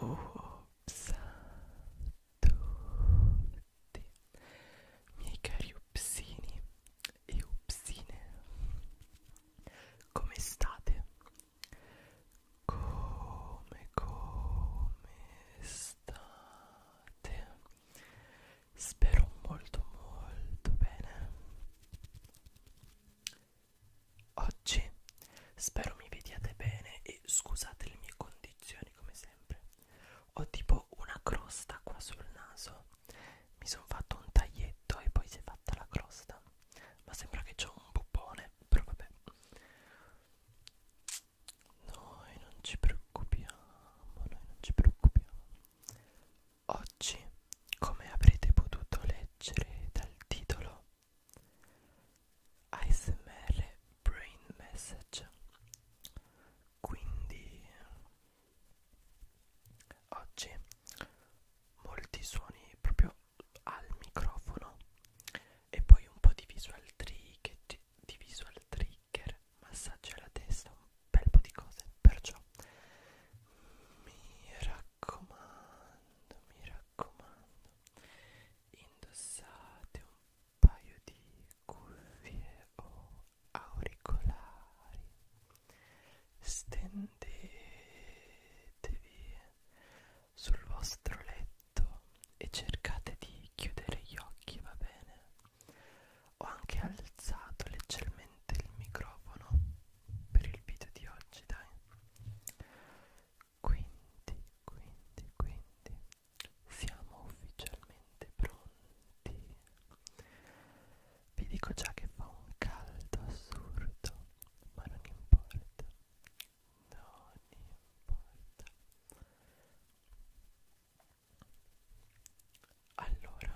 Ops a tutti, miei cari upsini e upsine, come state? Come, come state? Spero molto, molto bene. Oggi spero mi vediate bene e scusate le mie condizioni come sempre. Ho tipo una crosta qua sul naso. Mi sono fatto un taglietto e poi si è fatta la crosta. Ma sembra che ho un bubbone, però vabbè. Noi non ci preoccupiamo, noi non ci preoccupiamo. Oggi, come avrete potuto leggere dal titolo, ASMR Brain Message. Quindi, oggi molti suoni proprio al microfono e poi un po' di visual trick, di visual trigger, massaggi alla testa, un bel po' di cose, perciò mi raccomando, mi raccomando, indossate un paio di cuffie o auricolari, stendetevi sul vostro letto e cercate di chiudere gli occhi, va bene? Ho anche alzato leggermente il microfono per il video di oggi, dai. Quindi, quindi, quindi siamo ufficialmente pronti. Vi dico già che fa un caldo assurdo, ma non importa non importa allora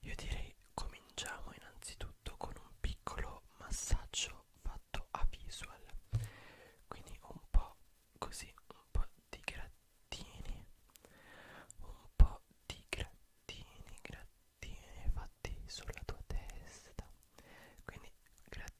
io direi cominciamo innanzitutto con un piccolo massaggio fatto a visual quindi un po' così un po' di grattini un po' di grattini grattini fatti sulla tua testa quindi grattini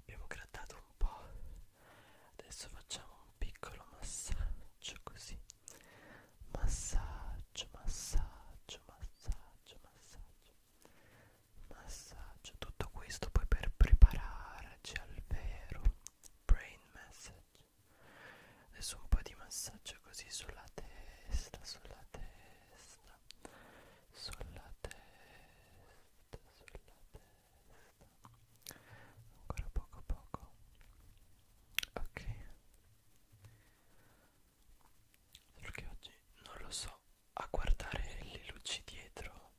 abbiamo grattato un po' adesso facciamo un piccolo massaggio così massaggio massaggio massaggio massaggio massaggio tutto questo poi per prepararci al vero brain massage adesso un po' di massaggio così sulla testa sulla testa sulla testa testa sulla testa ancora poco poco ok solo che oggi non lo so a guardare le luci dietro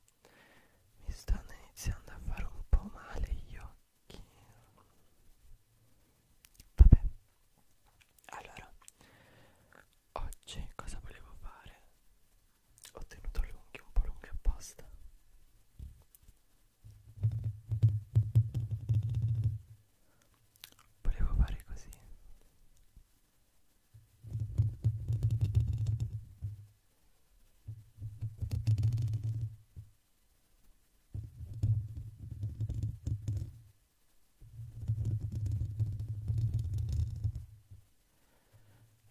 mi stanno iniziando a fare un po' male gli occhi vabbè allora oggi cosa volevo fare ho tenuto le unghie un po' lunghe apposta volevo fare così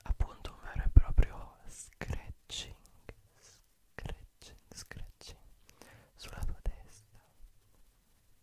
appunto un vero e proprio scratching scratching scratching sulla tua testa Ecco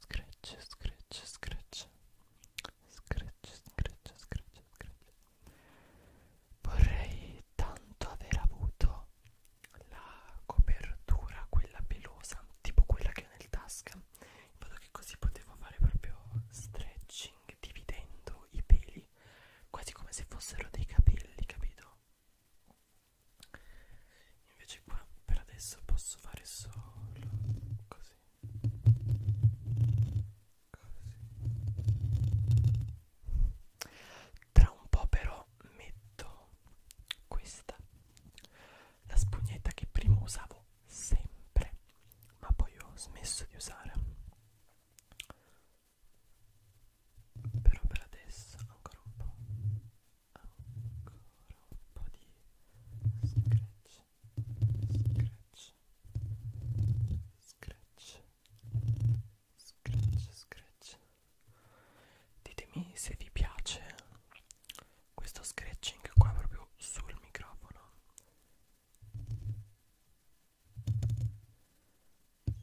scratch, scratch, scratch Scratch, scratch, scratch, scratch Vorrei tanto aver avuto la copertura, quella pelosa, tipo quella che ho nel tasca In modo che così potevo fare proprio stretching, dividendo i peli Quasi come se fossero dei capelli, capito? invece qua per adesso posso fare solo così così tra un po' però metto questa la spugnetta che prima usavo sempre ma poi ho smesso di usare però per adesso ancora un po' ancora un po' di scratch scratch scratch scratch scratch ditemi se vi piace questo scratching qua proprio sul microfono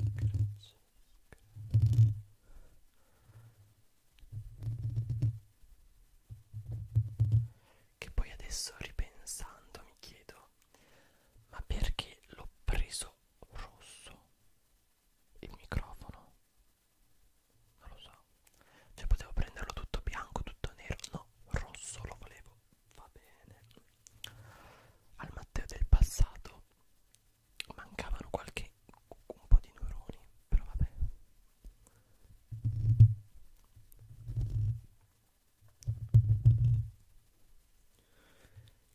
Scratch, scratch. Che poi adesso ripensando mi chiedo, ma perché l'ho preso rosso il microfono? Non lo so. Cioè potevo prenderlo tutto bianco, tutto nero, no, rosso lo volevo. Va bene. Al Matteo del passato mancavano qualche un po' di neuroni però vabbè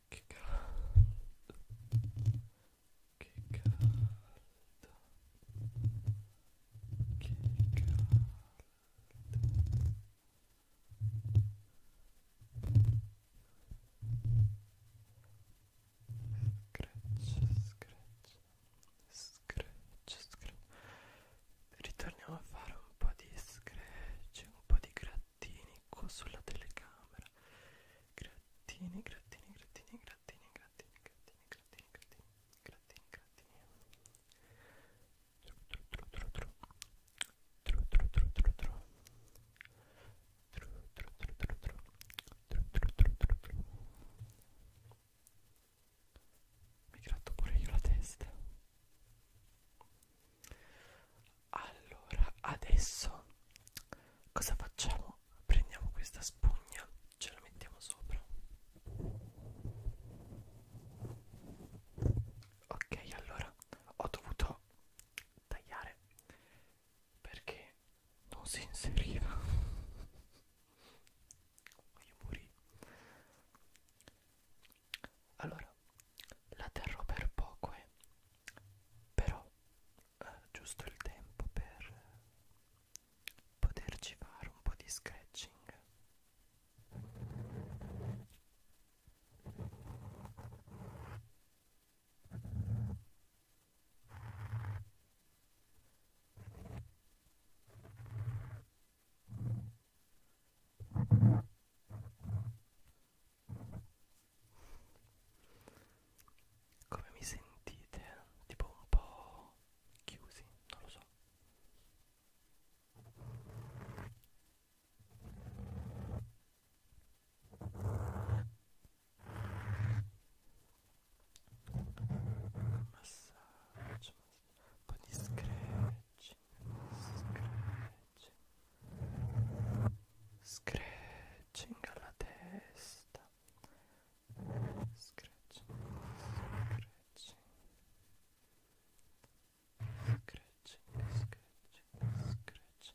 che caldo che caldo che caldo Scratch, scratch, scratch, scratch. Ritorniamo a fare un po' di scratch, un po' di grattini qua sulla telecamera. Grattini, grattini, grattini, grattini, grattini, grattini, grattini, grattini, grattini, grattini. Tru tru tru tru tru. Tru tru tru tru tru. Mi gratto pure io la testa. Allora, adesso cosa facciamo? Prendiamo questa spugna, ce la mettiamo sopra. Ok, allora ho dovuto tagliare perché non si inseriva io morì allora la terrò per poco eh. però eh, giusto il tempo per poterci fare un po' di scratching come mi sentite? Tipo un po' chiusi, non lo so. Массаж. Body scratch. Scratch. Scratching alla testa. Scratching. Scratching. Scratching. Scratching. Scratching.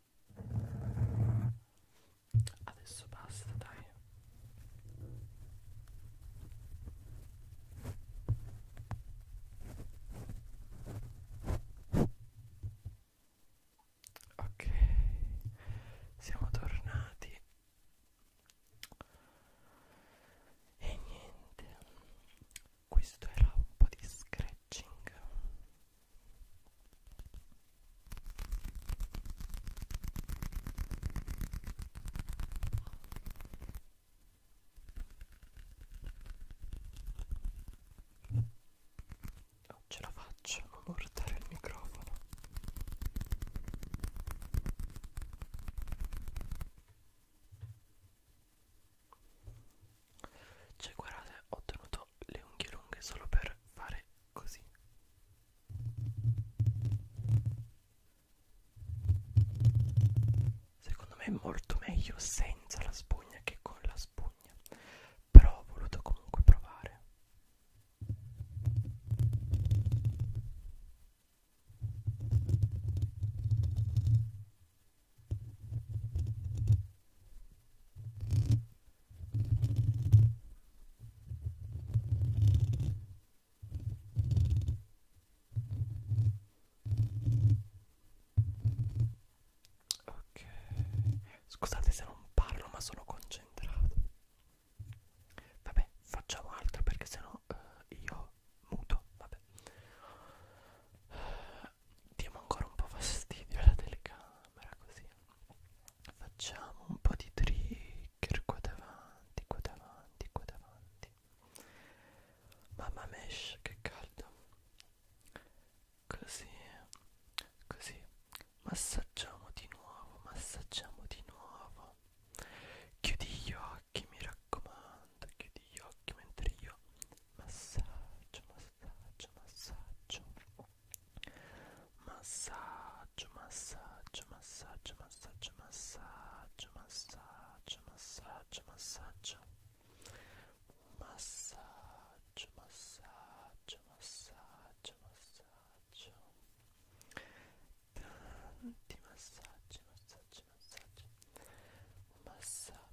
Adesso basta, dai. Ok, siamo tornati. E niente, questo era un po' di scratching non oh, ce la faccio a portare il microfono cioè guardate ho tenuto le unghie lunghe solo per fare così Secondo me è molto meglio senza la spugna che con la spugna Però ho voluto comunque provare Ok, scusate se non parlo ma sono concentrato. Vabbè, facciamo altro perché sennò uh, io muto, vabbè diamo ancora un po' fastidio alla telecamera così facciamo un po' di trigger qua davanti qua davanti qua davanti mamma mesh che caldo così così massaggiamo di nuovo massaggiamo di nuovo chiudi gli occhi mi raccomando chiudi gli occhi mentre io massaggio massaggio masażu, masażu, masażu, masażu, masażu, masażu, masażu, masażu, masażu, masażu, masażu, masażu, masażu, masażu, tanti masażu, masażu, masażu, masażu,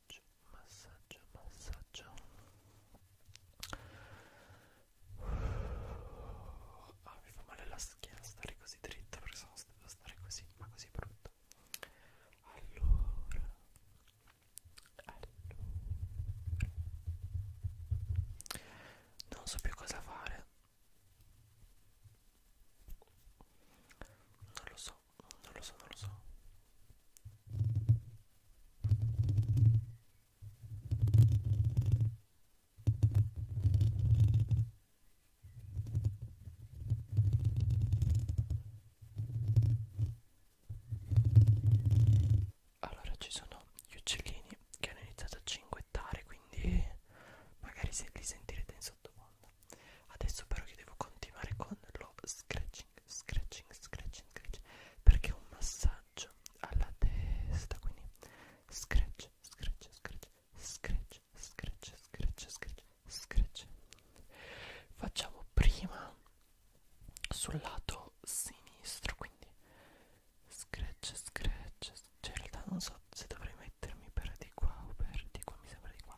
massaggio massaggio massaggio ah mi fa male la schiena stare così dritta perché sono stato stare così ma così brutto allora allora non so più cosa fare non lo so so, non lo so, non lo so. Allora ci sono gli uccellini che hanno iniziato a cinguettare, quindi magari se li sentirete in sottofondo. Adesso però che devo continuare con lo scratch scratching, scratching, scratching, scratching perché è un massaggio alla testa, quindi scratch, scratch, scratch, scratch, scratch, scratch, scratch, scratch. Facciamo prima sul lato sinistro, quindi scratch, scratch, cioè in realtà non so se dovrei mettermi per di qua o per di qua, mi sembra di qua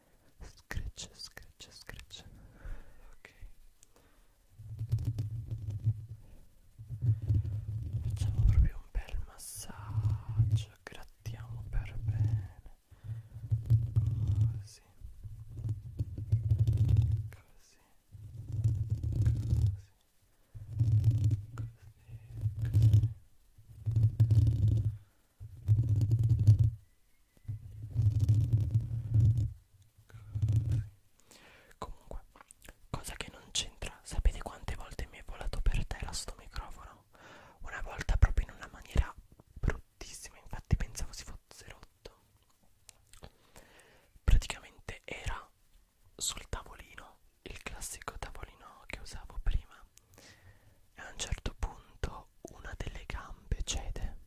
Scratch, scratch, scratch. Ok. Facciamo proprio un bel massaggio. Grattiamo per bene. Così. Così. Così. Così, così. Comunque, cosa che non c'entra, sapete quante volte mi è volato per terra sto microfono? Una volta proprio in una maniera bruttissima, infatti pensavo si fosse rotto. Praticamente era sul tavolino, il classico tavolino che usavo prima, e a un certo punto una delle gambe cede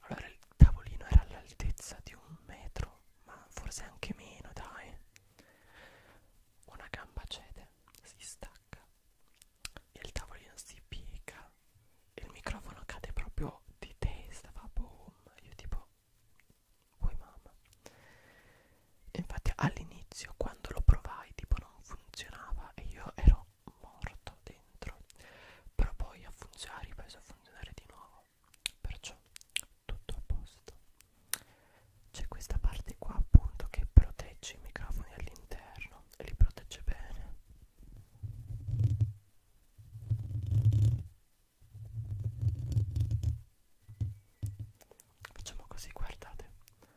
allora il tavolino era all'altezza di un metro ma forse anche meno dai una gamba cede si stacca e il tavolino si piega e il microfono cade proprio di testa fa boom io tipo poi mamma infatti all'inizio quando lo provai tipo non funzionava e io ero morto dentro però poi a funzionare ripreso a funzionare di nuovo perciò tutto a posto c'è questa parte qua appunto che protegge i microfoni all'interno e li protegge bene facciamo così guardate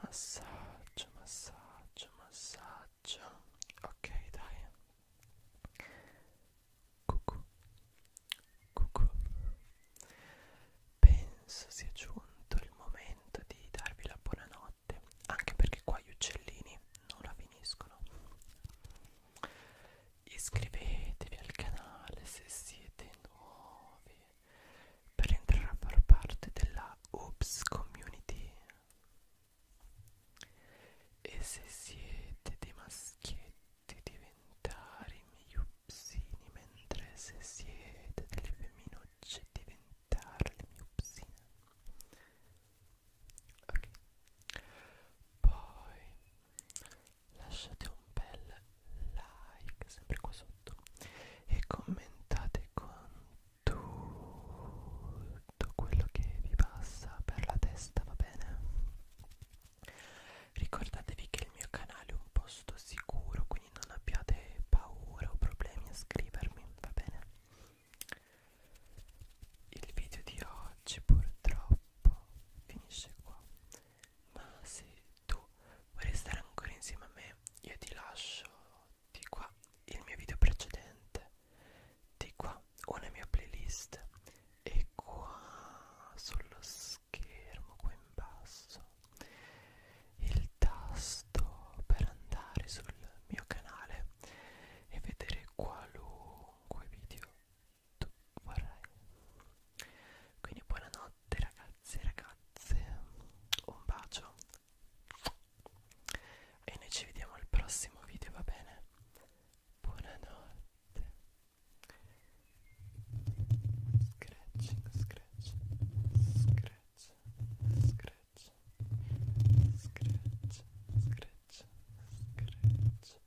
massaggio massaggio massaggio ok dai cucù cucù penso sia giunto il momento di darvi la buonanotte anche perché qua gli uccellini non la finiscono iscrivetevi al canale se siete nuovi per entrare a far parte della Oops Community e se siete dei maschietti diventare i miei upsini mentre se siete delle femminucce diventare le mie upsine ok poi lasciate un bel like sempre qua sotto e commentate con tutto quello che vi passa per la testa va bene ricordatevi che il mio canale è un posto sicuro quindi non abbiate paura o problemi a scrivermi va bene il video di oggi purtroppo finisce qua ma se tu vorrei stare ancora insieme a me io ti lascio di qua il mio video precedente di qua una mia playlist e qua sullo schermo qua in basso il tasto per andare sul mio canale e vedere qualunque video tu vorrai quindi buonanotte ragazzi e ragazze, un bacio e noi ci vediamo al prossimo video, va bene? Buonanotte. Scratching, scratch, scratch, scratch, scratch, scratch, scratch, scratch.